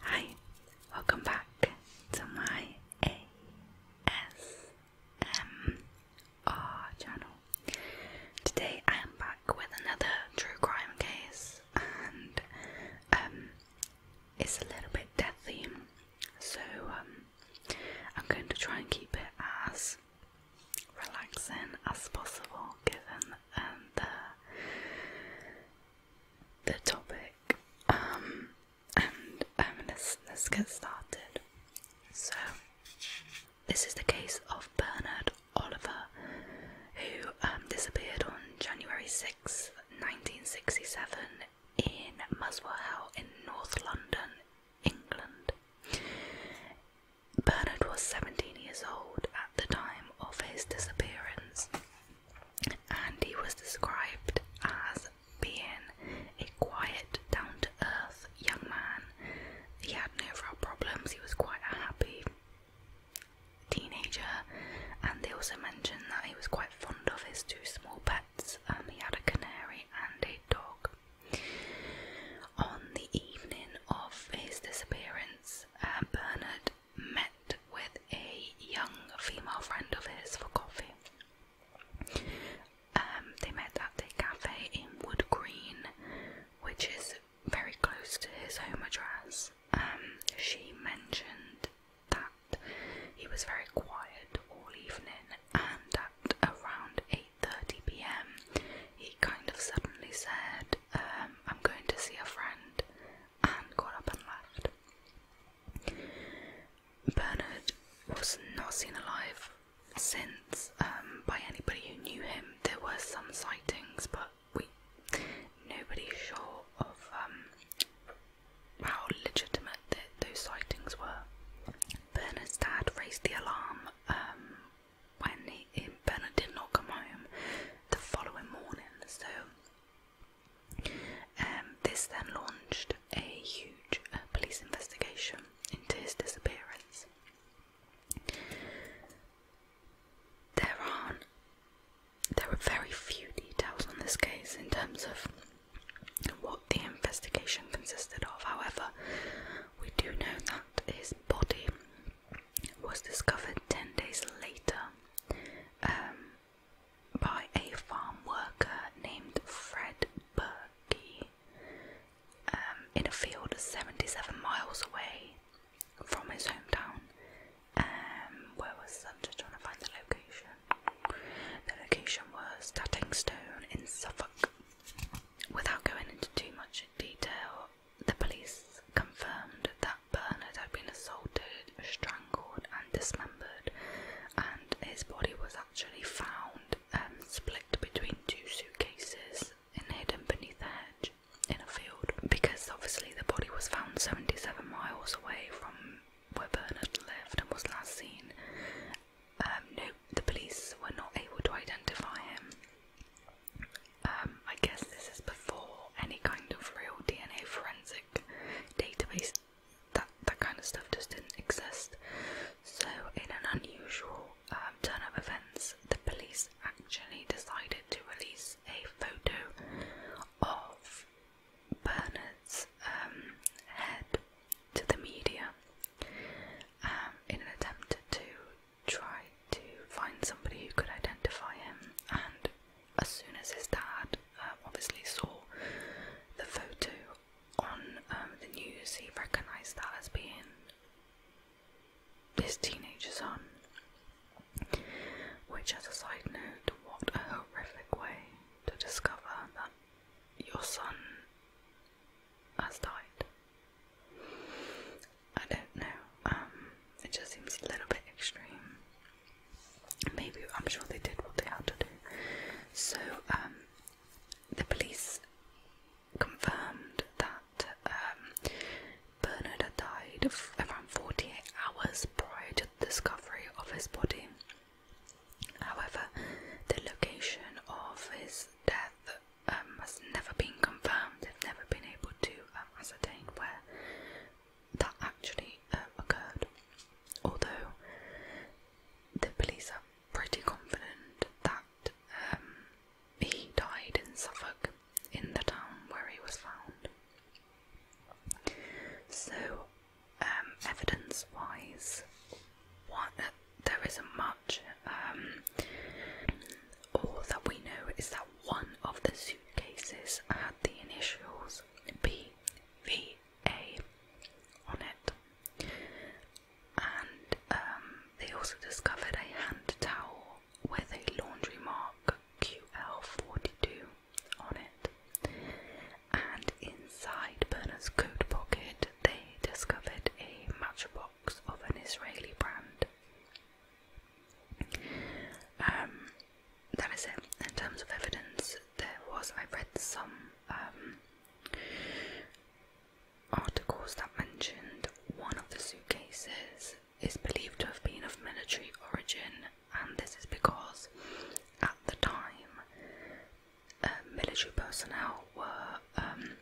Hi, welcome back to my ASMR channel. Today I am back with another true crime case and um, it's a little bit death theme, so um, I'm going to try and keep it as relaxing as possible given um, the the topic, um, and um, let's let's get started. So, this is the case of Bernard Oliver, who um, disappeared on January sixth, 1967, in Muswell Hill in North London, England. Bernard was 17 years old at the time of his disappearance and he was described as being a quiet, down to earth young man. He had no real problems, he was quite a happy teenager, and they also mentioned that he was quite fond of his two small pets. and um, he had a canary and a dog. On the evening of his disappearance, uh, Bernard met with a young female friend of his for coffee. Um, they met at a cafe in Wood Green, which is very close to his home address. Um, she mentioned that he was very quiet all evening, and at around 8:30 p.m., he kind of suddenly said, um, "I'm going to see a friend," and got up and left. Bernard was not seen alive since um, by anybody who knew him. There were some sightings, but we nobody's sure of um, how legitimate those sightings were. Bernard's dad raised the alarm um, when he, Bernard did not come home the following morning, so um, this then launched a huge uh, police investigation into his disappearance. There are there are very few details on this case in terms of what the investigation consisted of. However, we do know that his body was discovered 10 days later um, by a farm worker named Fred Burkey um, in a field 77 miles away from his hometown. Um, where was that? trying to find the location. The location was Tattingstone in Suffolk. Without going into too much detail, the police confirmed that Bernard had been assaulted, strangled, and dismembered, and his body was actually found um, split between two suitcases and hidden beneath a hedge in a field. Because obviously the body was found 77 miles away from where Bernard lived and was last seen, um, no, the police were not able to identify him. Um, I guess this is before any kind of real DNA forensic database. That that kind of stuff just didn't exist. So, in an unusual um, turn of events, the police actually decided to release a photo of Bernard's um, head to the media in an attempt to try to find somebody who could identify him and as soon as his dad um, obviously saw the photo on um, the news, he recognised that as being his teenager son. Which, as a side note, what a horrific way to discover that your son has died. I don't know. Um, it just seems a little bit extreme. Maybe I'm sure they did what they had to do. So um, the police confirmed that um, Bernard had died around 48 hours prior to the discovery of his body. However, the location of his death has never been confirmed. They've never been able to ascertain where that actually um, occurred. Although the police are pretty confident that um, he died in Suffolk, in the town where he was found. So, um, evidence-wise, what uh, there isn't much. all that we know is that one of the suitcases had the initials BVA on it. And um, they also discovered a hand towel with a laundry mark QL42 on it. And inside Berners' coat pocket, they discovered a matchbox of an Israeli brand. Um, that is it. In terms of evidence, there was, I read some um, articles that mentioned one of the suitcases is believed to have been of military origin, and this is because at the time uh, military personnel were um,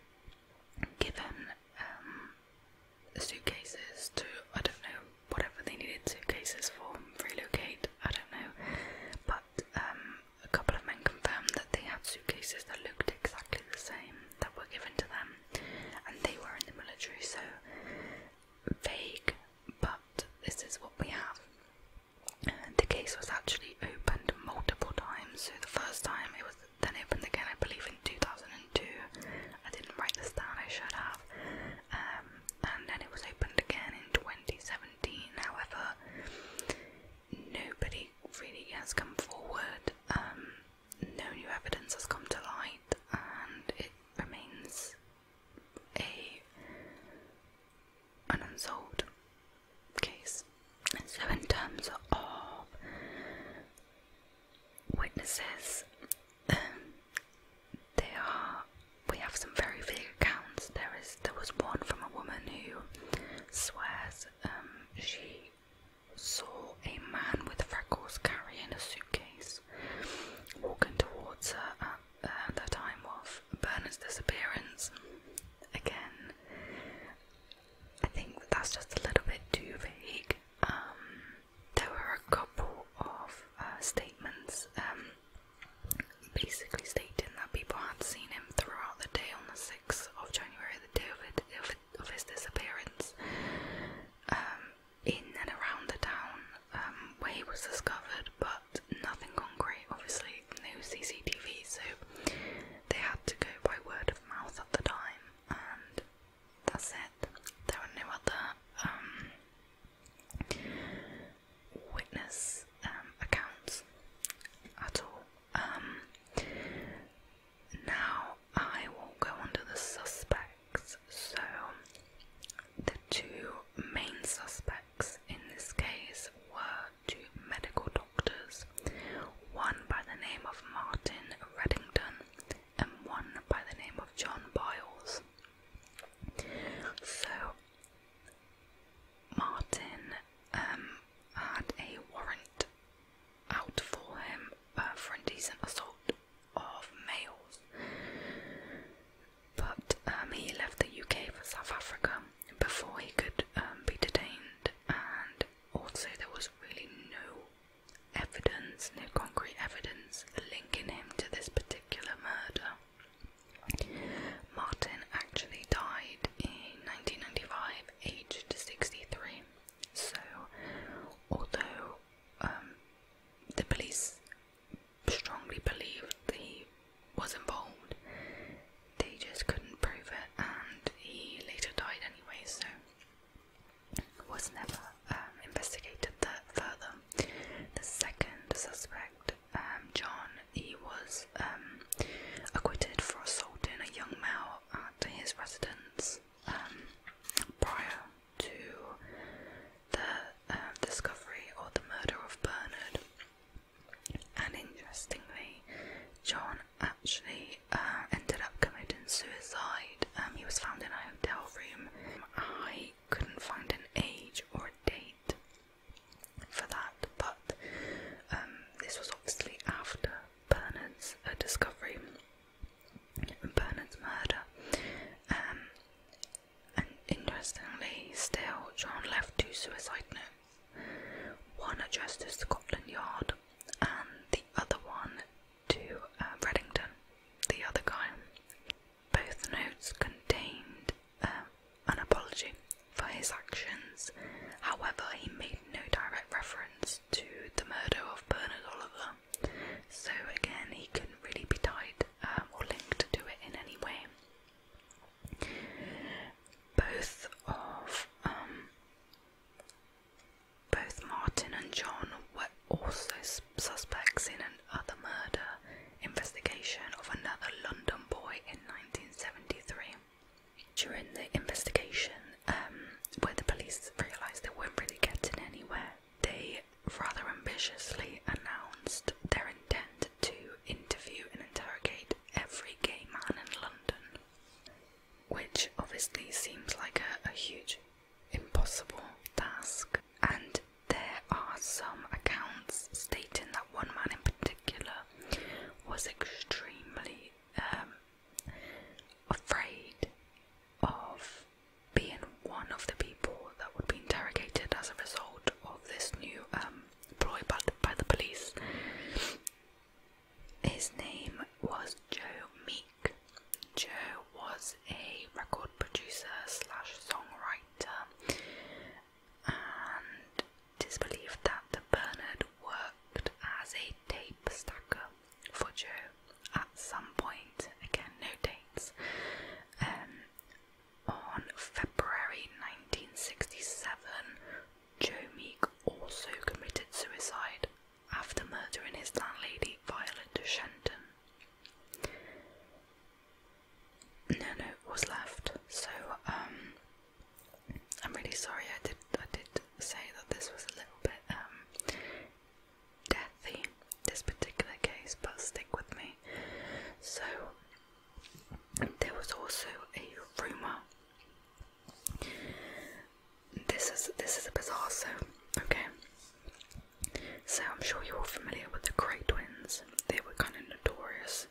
given suitcases to, I don't know, whatever they needed suitcases for, relocate, I don't know. But um, a couple of men confirmed that they had suitcases that looked exactly the same that were given to them, and they were in the military, so vague, but this is what we have. The case was actually opened multiple times, so the first time it was then opened again, I believe, in two thousand. I didn't write this down, I should have. Um, and then it was opened again in 2017. However, nobody really has come forward. Um, no new evidence has come to light, and it remains a unsolved case. So, in terms of witnesses. Um, there are we have some very vague accounts. There is there was one from a woman who swears um, she saw a man with freckles carrying a suitcase walking towards her at uh, the time of Bernard's disappearance. Again, I think that's just a little bit too vague. Um, there were a couple of uh, statements um, basically stating that people had seen him throughout the day on the 6th of January, the day of, his disappearance, um, in and around the town um, where he was discovered, but nothing concrete, obviously, no CCTV, so they had to go by word of mouth at the time, and that's it. There were no other um, witness um, accounts at all. Um, now I will go on the suspects. So, the two main suspects in this case were two medical doctors, one by the name of Martin Reddington and one by the name of John Biles. So, Martin um, had a warrant out for him uh, for indecent assault of males, but um, he left the UK for South Africa before he could um, be detained, and also there was really no evidence, no concrete evidence linking him to this particular murder. Martin actually died in 1995, aged 63. So, although um, the police strongly believed he was involved, they just couldn't prove it, and he later died anyway. So, was never um, investigated further. The second suspect, um, John, he was um, acquitted for assaulting a young male at his residence prior to the discovery or the murder of Bernard. And interestingly, John actually uh, ended up committing suicide. Um, he was found in a hotel room. I couldn't find an age or a date for that, but um, this was obviously after Bernard's uh, discovery and Bernard's murder. Um, and interestingly, still, John left two suicide notes one addressed to Scotland Yard and the other one to uh, Reddington, the other guy. Both notes contained um, an apology for his actions, however, he made no direct reference to the murder of Bernard Oliver, so again, he couldn't really be tied um, or linked to it in any way. Both of um, both Martin and John were also suspects in another murder investigation of another London boy in 1973. During the investigation, um, where the police realised they weren't really getting anywhere, they rather ambitiously announced their intent to interview and interrogate every gay man in London, which obviously seems like a huge impossible task. And there are some accounts stating that one man in particular was extremely um, afraid of being one of the people that would be interrogated as a result of this new um, ploy by, by the police. His name was Joe Mead. Joe was a record producer slash songwriter, and it is believed that Bernard worked as a tape stacker for Joe at some point. Again, no dates. Um, on February 1967, Joe Meek also committed suicide after murdering his landlady Violet Shenton. No note was left, so um, I'm really sorry. I did I did say that this was a little bit um, deathy, this particular case, but stick with me. So there was also a rumor this is this is a Bizarzo, okay? So I'm sure you're all familiar with the Grey Twins. They were kind of notorious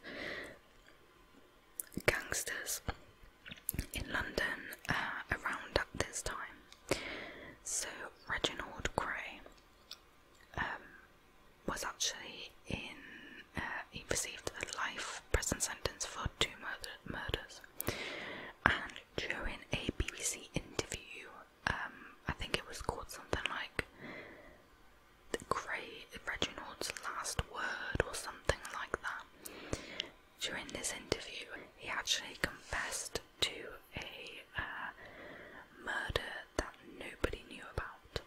gangsters in London uh, around this time. So Reginald Grey um, was actually in. Uh, he received a life prison sentence for two murders, and during a BBC interview. Um, I think it was called something like the Grey Reginald's Last Word or something like that. During this interview, he actually confessed to a uh, murder that nobody knew about.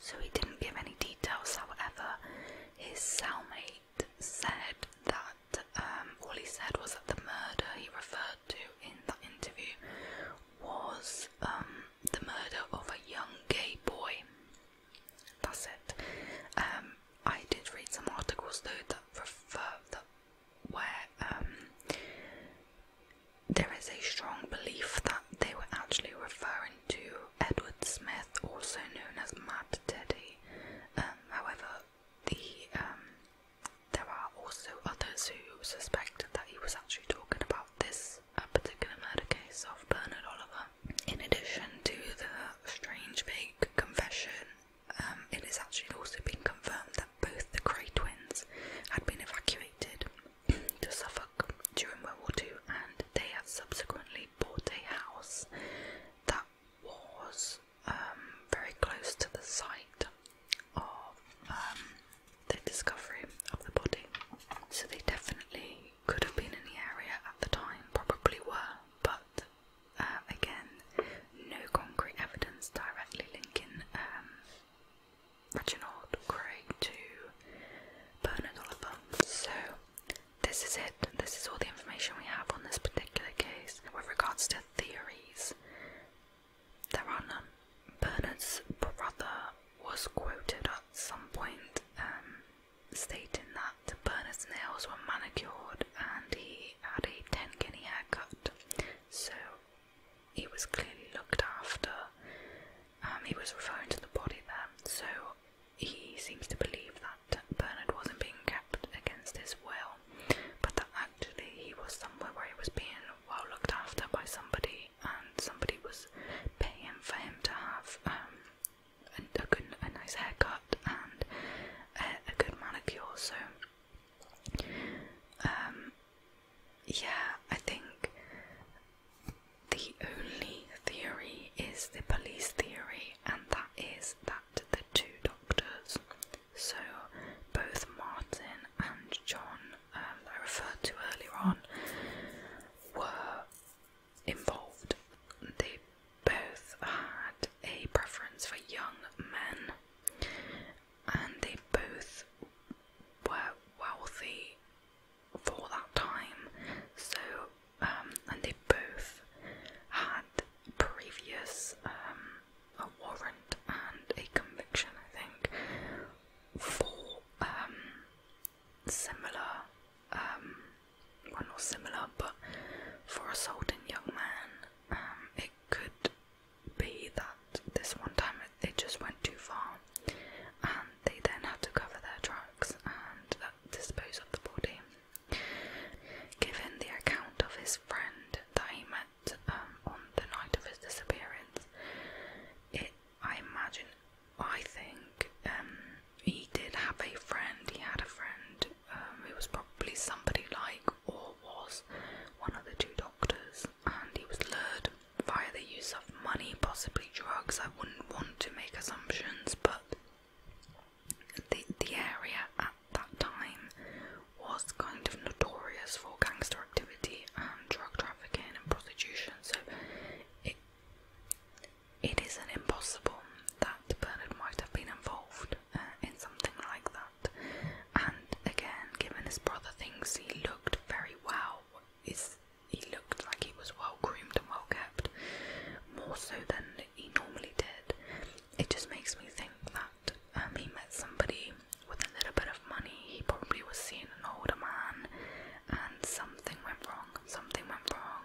So he didn't give any details, however, his cellmate said that um, all he said was that the murder he referred to in that interview was um, the murder of a young gay boy. That's it. Um, I did read some articles though that refer that where there is a strong belief that they were actually referring to Edward Smith, also known as Mad Teddy. however, um, there are also others who suspect that he was actually talking about this uh, particular murder case of Bernard Oliver. In addition to the strange fake confession, um, it has actually also been confirmed that both the Grey twins had been evacuated to Suffolk during World War II and they have subsequently bought a house that was um, very close to the site of um, the discovery of the body. So they definitely could have been in the area at the time, probably were, but uh, again, no concrete evidence directly linking um, Reginald Craig to Bernard Oliver. So this is it. This is all the information we have on this particular case. With regards to theories, there are none. Bernard's brother was quoted at some point um, stating that Bernard's nails were manicured and he had a 10 guinea haircut. So he was clearly looked after. Um, he was referring to the body there. So he seems to believe that Bernard wasn't being kept against his will, but that actually he was somewhere where he was being well looked after by somebody, and somebody was paying for him to have um, a, good, a nice haircut and a, good manicure. So, um, yeah, I think the only theory is the police theory, and that is that the two doctors, so both Martin and John, um, I referred to earlier on, were involved. They both had a preference for young men, and they both were wealthy for that time, so um, and they both had previous um, a warrant and a conviction, I think, for um, similar, well, not similar, but for assaulting young men. it could be that this one time it, just went too far, and they then had to cover their tracks and uh, dispose of the body. Given the account of his friend that he met um, on the night of his disappearance, it I imagine, I think um, he did have a friend. He had a friend um, who was probably somebody like or was one of the two doctors, and he was lured via the use of money, possibly drugs. I wouldn't want to make assumptions, but the, the area at that time was kind of notorious for gangster activity and drug trafficking and prostitution, so it, it isn't impossible that Bernard might have been involved uh, in something like that. And again, given his brother thinks he looked very well, is he looked like he was well groomed and well kept, more so than he normally did. It just makes me think that um, he met somebody with a little bit of money. He probably was seeing an older man, and something went wrong. Something went wrong,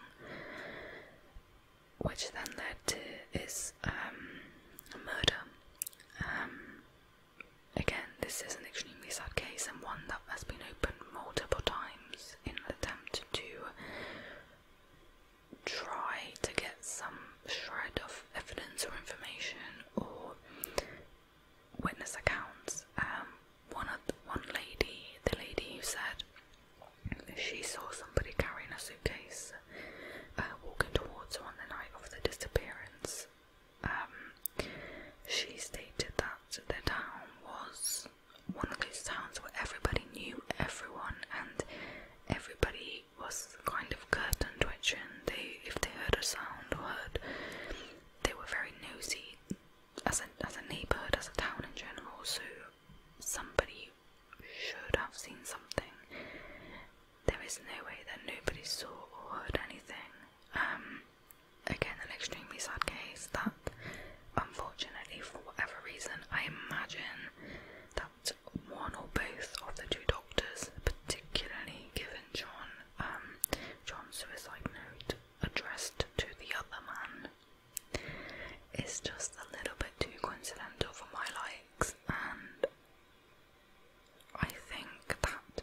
which then led to his um, murder. Um, again, this is an extremely sad case and one that has been opened multiple times in an attempt to try to get some shred of evidence or information or witness accounts. Um, one of one lady, the lady who said she saw somebody carrying a suitcase uh, walking towards her on the night of the disappearance. Um, she stated that the town was one of those towns where everybody knew everyone and everybody was kind of curt curtained twitching. They, if they heard a sound or heard, they were very nosy as a as a neighborhood, as a town in general. So somebody should have seen something. There is no way that nobody saw or heard anything. Um, again, an extremely sad case that, unfortunately, for whatever reason, I imagine that one or both of the two doctors, particularly given John um, John's suicide note addressed to the other man, is just a little bit too coincidental for my likes, and I think that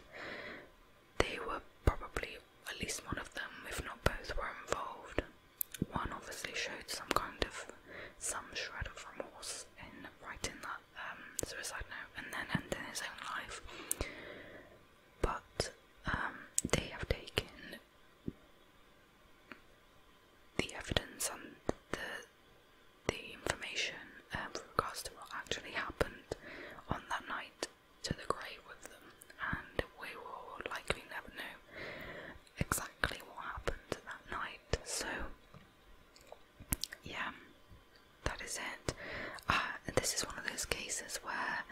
they were probably at least one of them, if not both, were involved. One obviously showed some kind of some shred of remorse in writing that um, suicide note and then ending his own life. But um, they have taken the evidence and the the information uh, with regards to what actually happened on that night to the grave with them, and we will likely never know exactly what happened that night. So, yeah, that is it. Uh, this is one of those cases where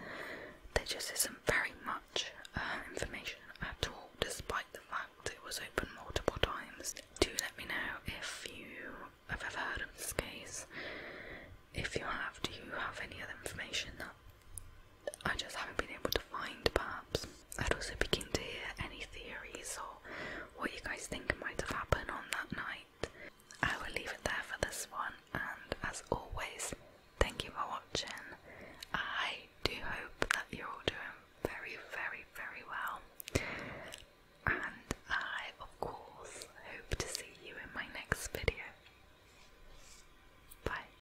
there just isn't very much uh, information at all, despite the fact it was open multiple times. Do let me know if you have ever heard of this case. If you have, do you have any other information that I just haven't been able to find perhaps. I'd also be keen to hear any theories or what you guys think might have happened on that night. I will leave it there for this one and as always thank you for watching. I do hope that you're all doing very very very well and I of course hope to see you in my next video. Bye.